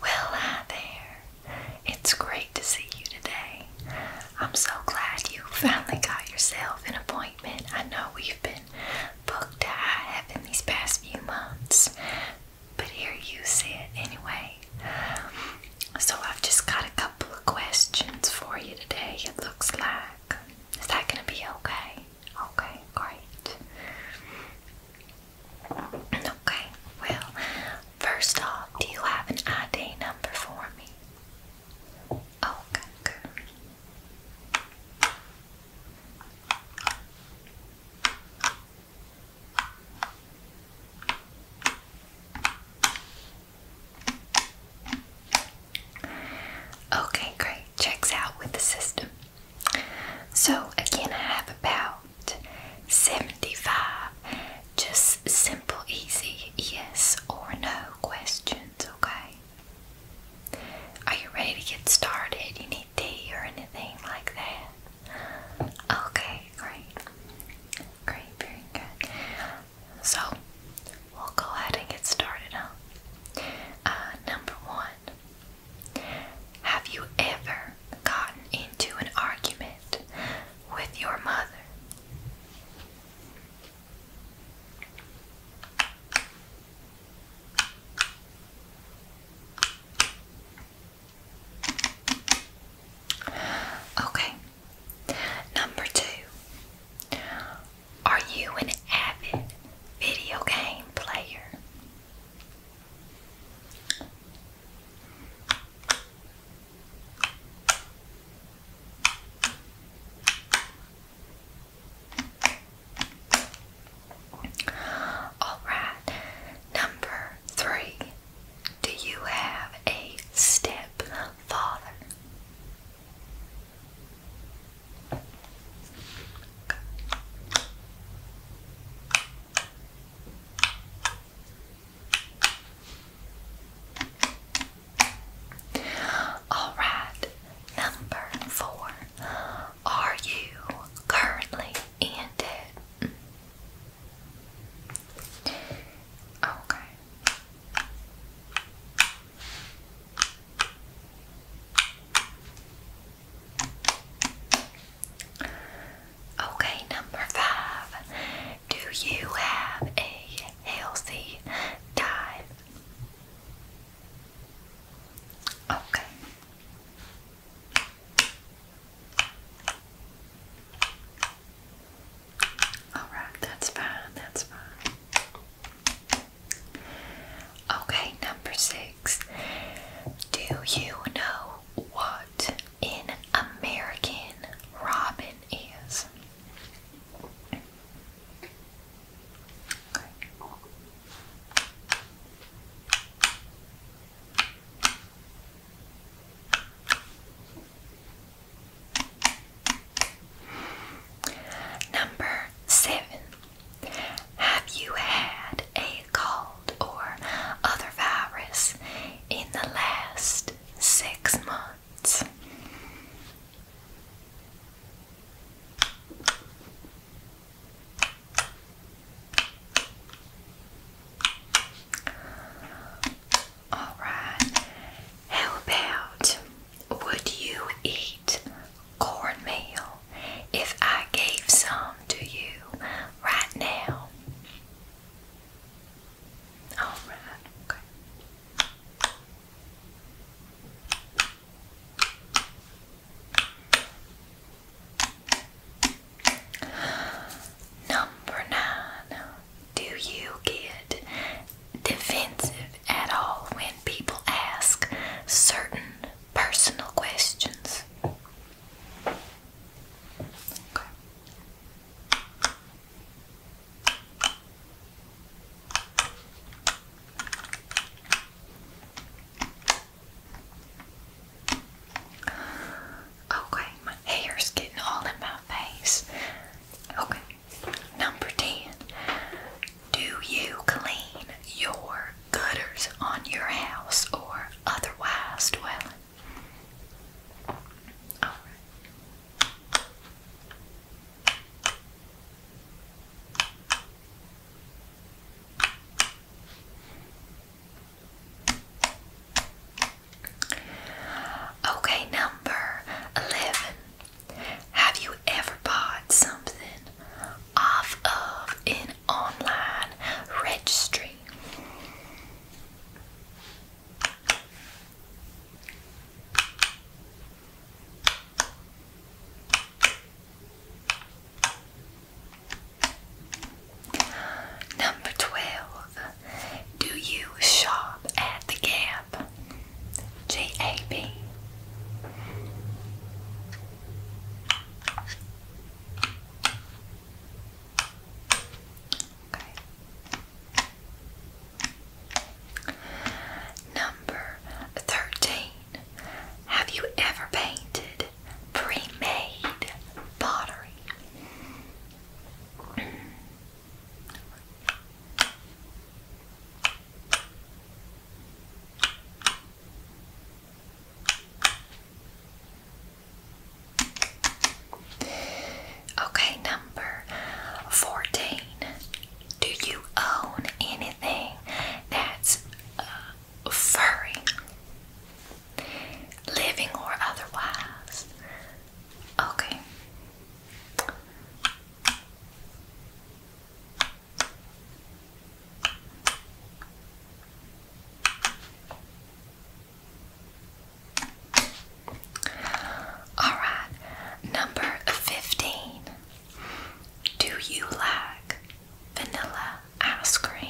Well, hi there. It's great to see you today. I'm so glad you finally got yourself an appointment. I know we've been booked to high heaven these past few months, but here you sit anyway. So I've just got a couple of questions for you today, it looks like. Is that going to be okay? Okay, great. Okay, well, first off, do you have an ID number for me? Okay, oh, Okay, great. Checks out with the system. So, again, I have about 75 just simple, easy yes or no questions, okay? Are you ready to get started? You need tea or anything like that? Okay, great. Great, very good. So, we'll go ahead and get started, now. Uh, number one, have you ever gotten into an argument with your mother? Okay. Number two. Are you an avid video game player? All right, number three. Do you have a stepfather? All right, number four. Are you currently in debt? Okay. Okay, number five. Do you have a healthy diet? Okay. All right, that's fine, that's fine. Okay, number six. Do you know what in American robin is? Number seven. Have you had a cold or other virus in the last six months? All right. How about would you eat cornmeal if I gave some to you right now? Alright, Number nine. Do you get defensive at all when people ask certain personal questions. Okay. my hair's getting all in my face. Okay, number 10. Do you clean your gutters on your house or otherwise dwelling? Okay, number 11. Have you ever bought something off of an online registry. Number 12. Do you shop at the Gap? G A B. Number 13. Have you ever painted pre-made pottery? Okay, number 14. Do you own anything that's uh, furry, living or otherwise? Okay. All right, number 15. Do you like vanilla ice cream?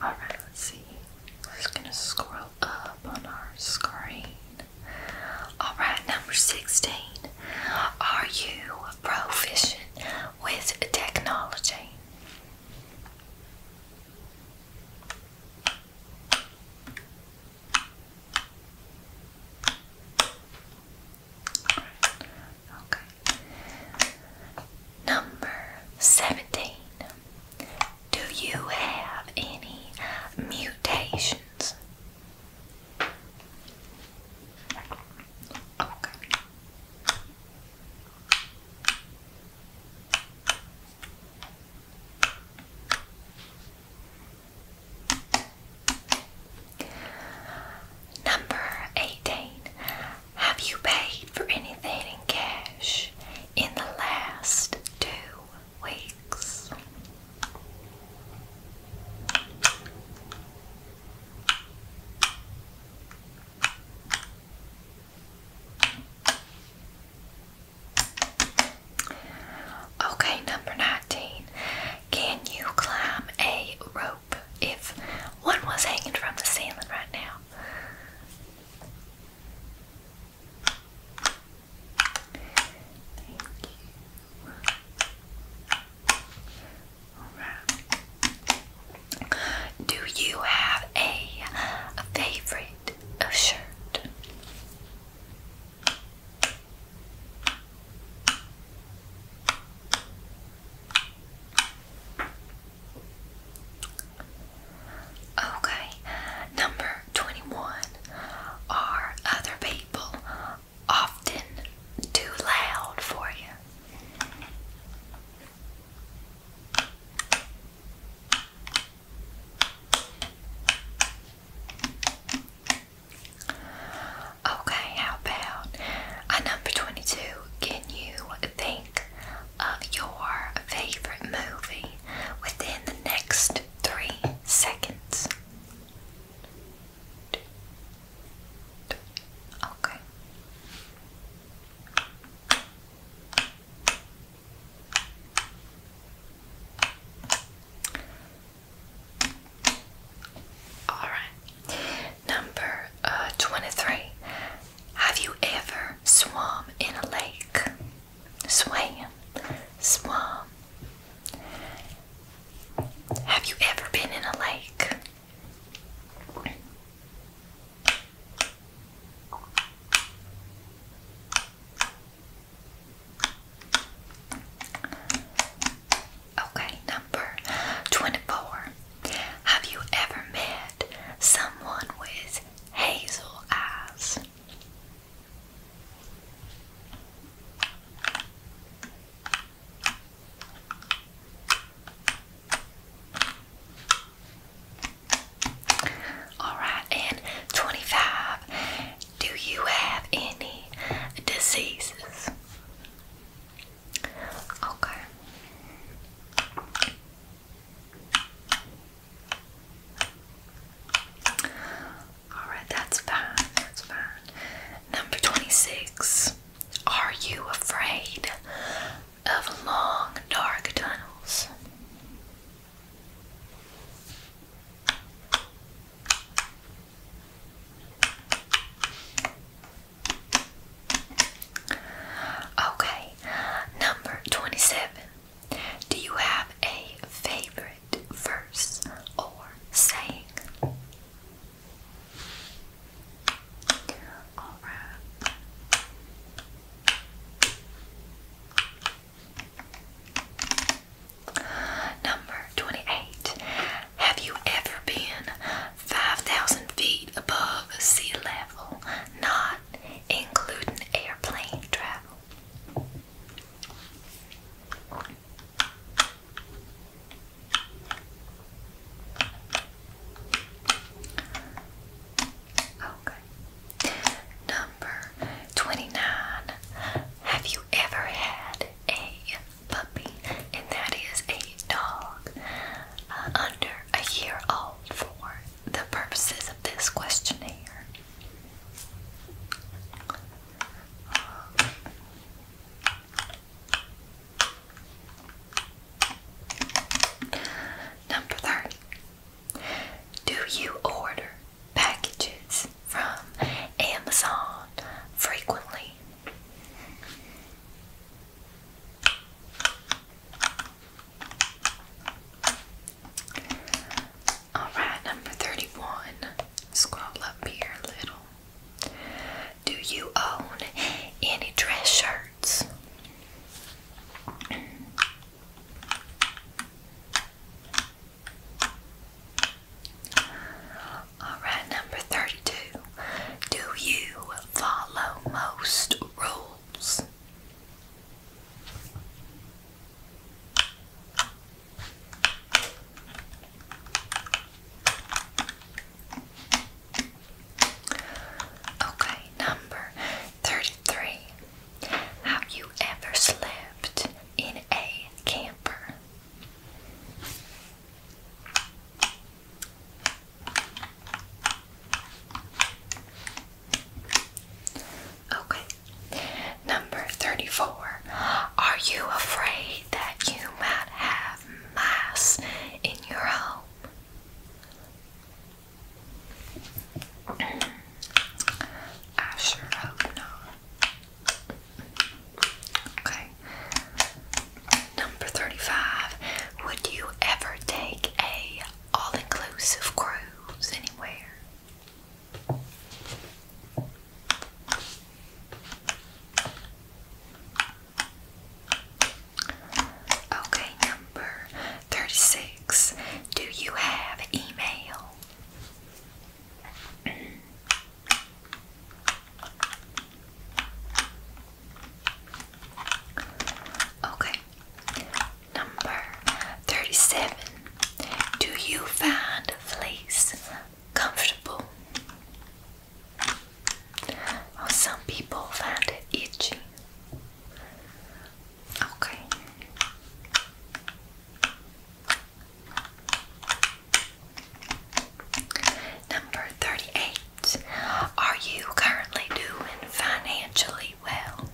Alright, let's see. We're just gonna scroll up on our screen. Alright, number 16. Are you proficient with technology? Okay. Number seventeen. Do you have any mutations? Number 18. Have you paid for anything in cash in the last two weeks? Okay, number 19. Can you climb a rope if one was hanging from the ceiling right now? Do you have a, favorite shirt? Okay, number 21. Are other people often too loud for you? Okay, how about at number 22? Can you think of your favorite movie within the next three seconds? Okay. Alright. Number uh, 23. Have you ever swum in a lake? Swam. Swam. Have you ever been in a lake? Okay, number 24. Have you ever met someone with hazel eyes? Alright, and 25. Do you have any diseases? Okay. Alright, that's fine. That's fine. Number 26. Are you afraid of long, dark tunnels? Okay, number 27. Do you have a favorite verse or saying? Number 28. Have you ever been 5,000 feet above sea level, not including airplane travel? Okay. Number 29. Have you ever had a puppy? And that is a dog uh, under a year old for the purposes of this questionnaire. Number 30. Do you order packages from Amazon frequently? Alright, number 31. Scroll up here little. Do you own any dress shirts? Alright, number 32. Do you follow most rules? Okay, number 33. Have you ever slept in a camper? Okay. Number 34. Are you afraid that you might have mass in your home? I sure hope not. Okay. Number 35. Would you ever take a all-inclusive cruise anywhere? Okay, Number 36. Do you have email? okay. Number 37. Do you find fleece comfortable? Well, oh, some people find it itchy. Okay. Number 38. Are you currently doing financially well?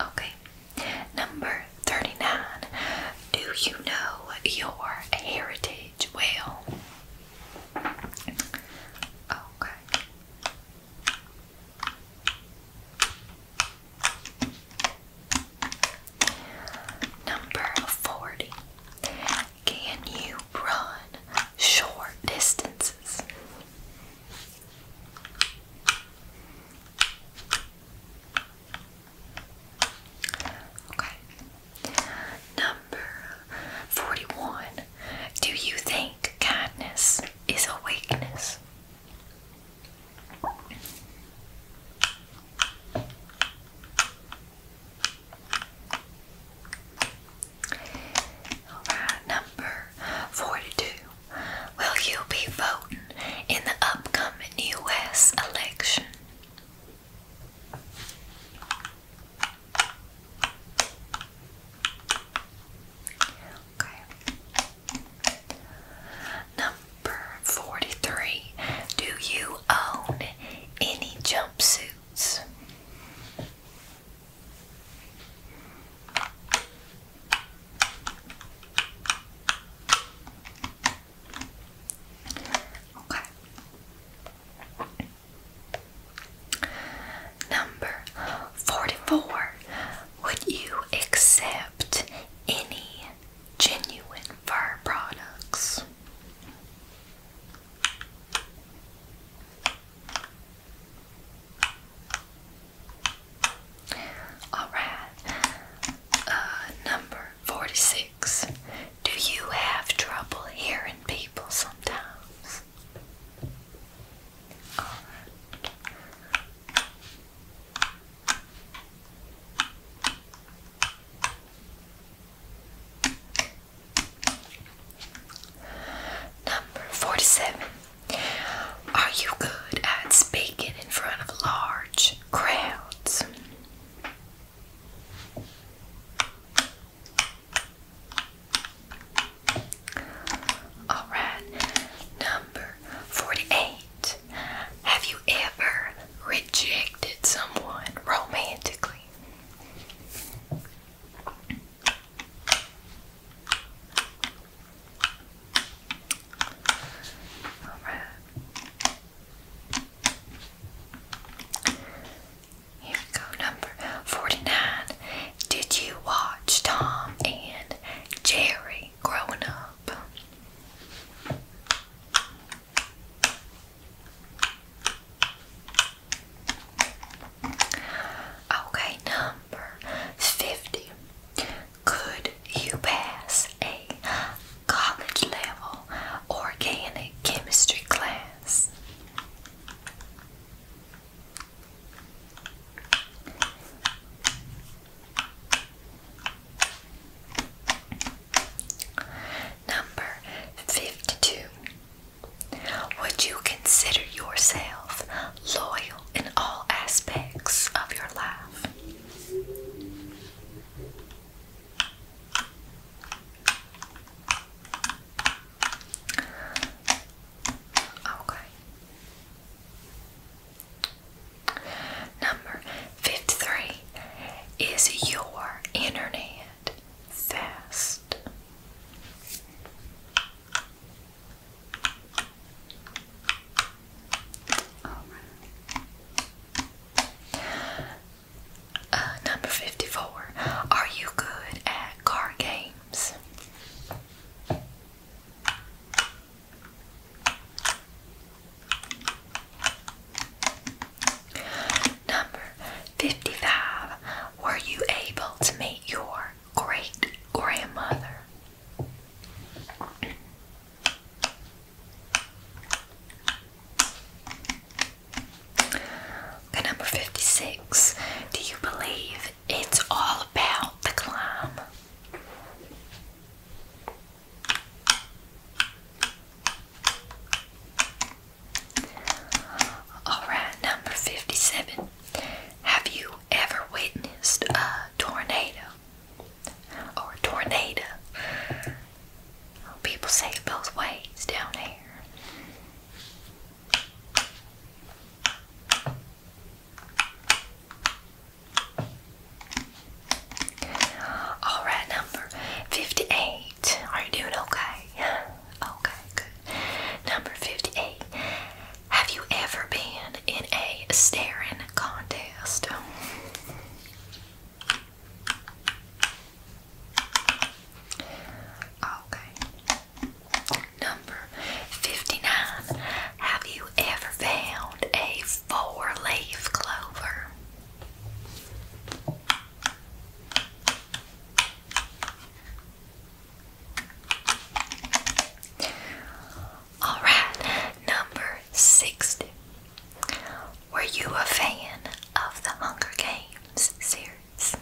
Okay, Number 39. Do you know your heritage well? Okay. Number 40. Can you run short distances? Okay. Number 41. Do you think kindness is a weakness? Alright, number 42 will you be voting in the upcoming U.S. election? Okay. Number 43. Do you own any jumpsuits? Okay. Number 44. Would you accept any genuine fur products? Alright. Uh, number 46. Do you have trouble hearing people sometimes? Alright. Number 47. Are you good at speaking in front of large crowds? All right, number 48. Have you ever rejected someone romantically? Alright. Here we number 49. Did you watch Tom and Jerry growing up? Okay, number 50. Could you pass a college level organic chemistry class? Number 52. Would you consider yourself loyal in all aspects of your life. Okay. Number 53 is your internet fast. Uh, number 54. Are you good at card games? Number 55. Were you able to meet your great grandmother? number 56. Do you believe it's all about the climb? Alright, number 57. Have you ever witnessed a tornado or a tornado? Oh, people say it both ways down here. All right, number 58. Are you doing okay? Okay, good. Number 58. Have you ever been in a staring contest? Okay. Number 59. Have you ever found a four leaf clover? Alright, number 60. Were you a fan of the Hunger Games series?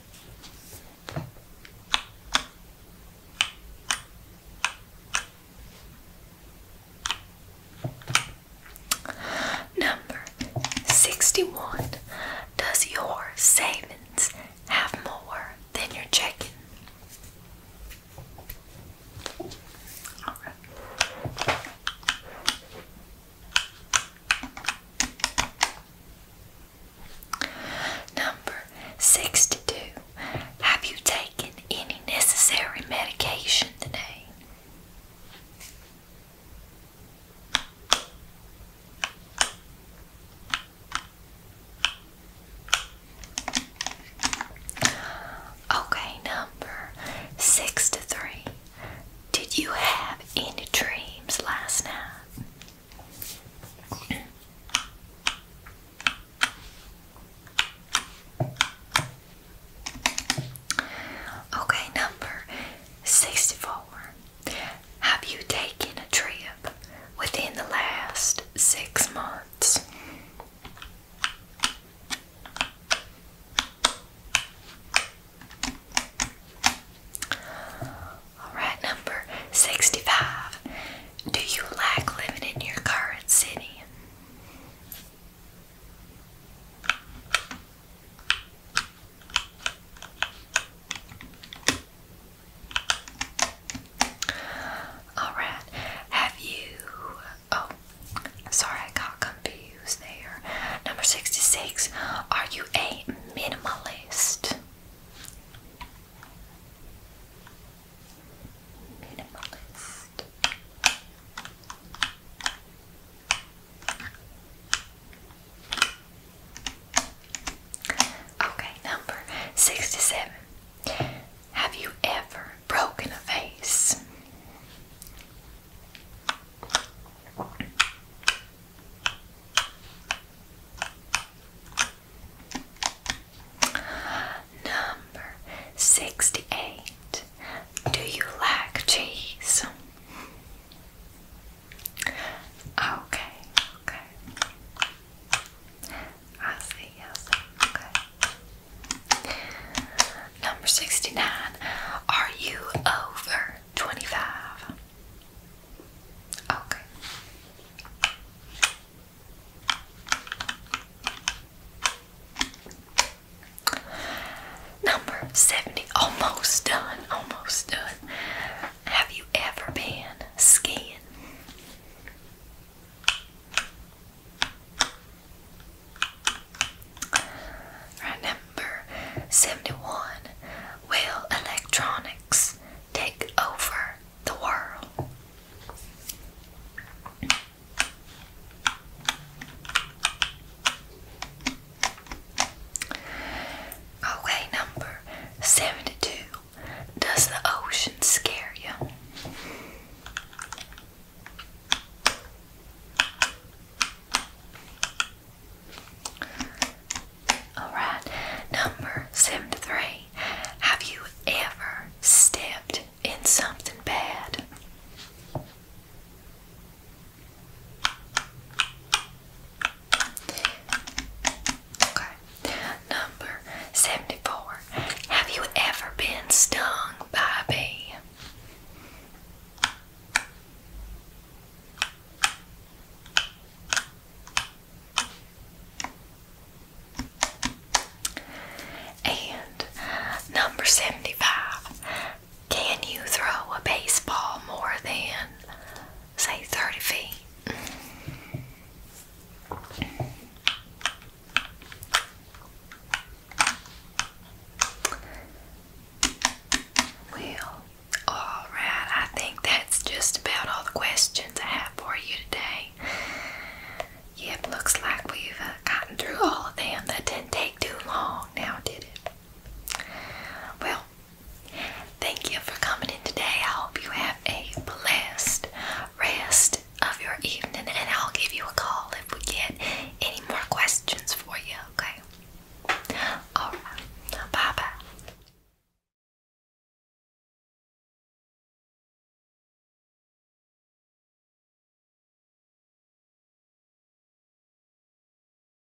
Number 61. Does your savings have more than your chicken. Number 62. Have you taken any necessary medication today? Okay, number six to three. Did you have any dreams last night? Okay, number 64. Have you taken a trip within the last six months? Alright, number 65. Do you like living in your current city? Alright, have you. Oh, sorry, I got confused there. Number 66, are you a minimalist? Minimalist. Okay, number 67. Have you ever broken a face? Number 68. Do you like cheese? Ah, okay, okay. I see, I okay. Number 69. Are you over 25? Okay. Number 70. Almost done. Almost done. Have you ever been skiing? number 71. Will electronics take over the world? Okay, number 72. Does the ocean scare you? Alright, number 73. Have you ever stepped in something bad? Okay. Number 74. Have you ever been stung by a bee? And number 75. Can you throw a baseball more than say 30 feet. Well, all right, I think that's just about all the questions I have for you today. Yep, looks like we've uh, gotten through all of them. That didn't take too long now, did it? Well, Thank you for coming in today. I hope you have a blessed rest of your evening, and I'll give you a call if we get any more questions for you, okay? Alright, bye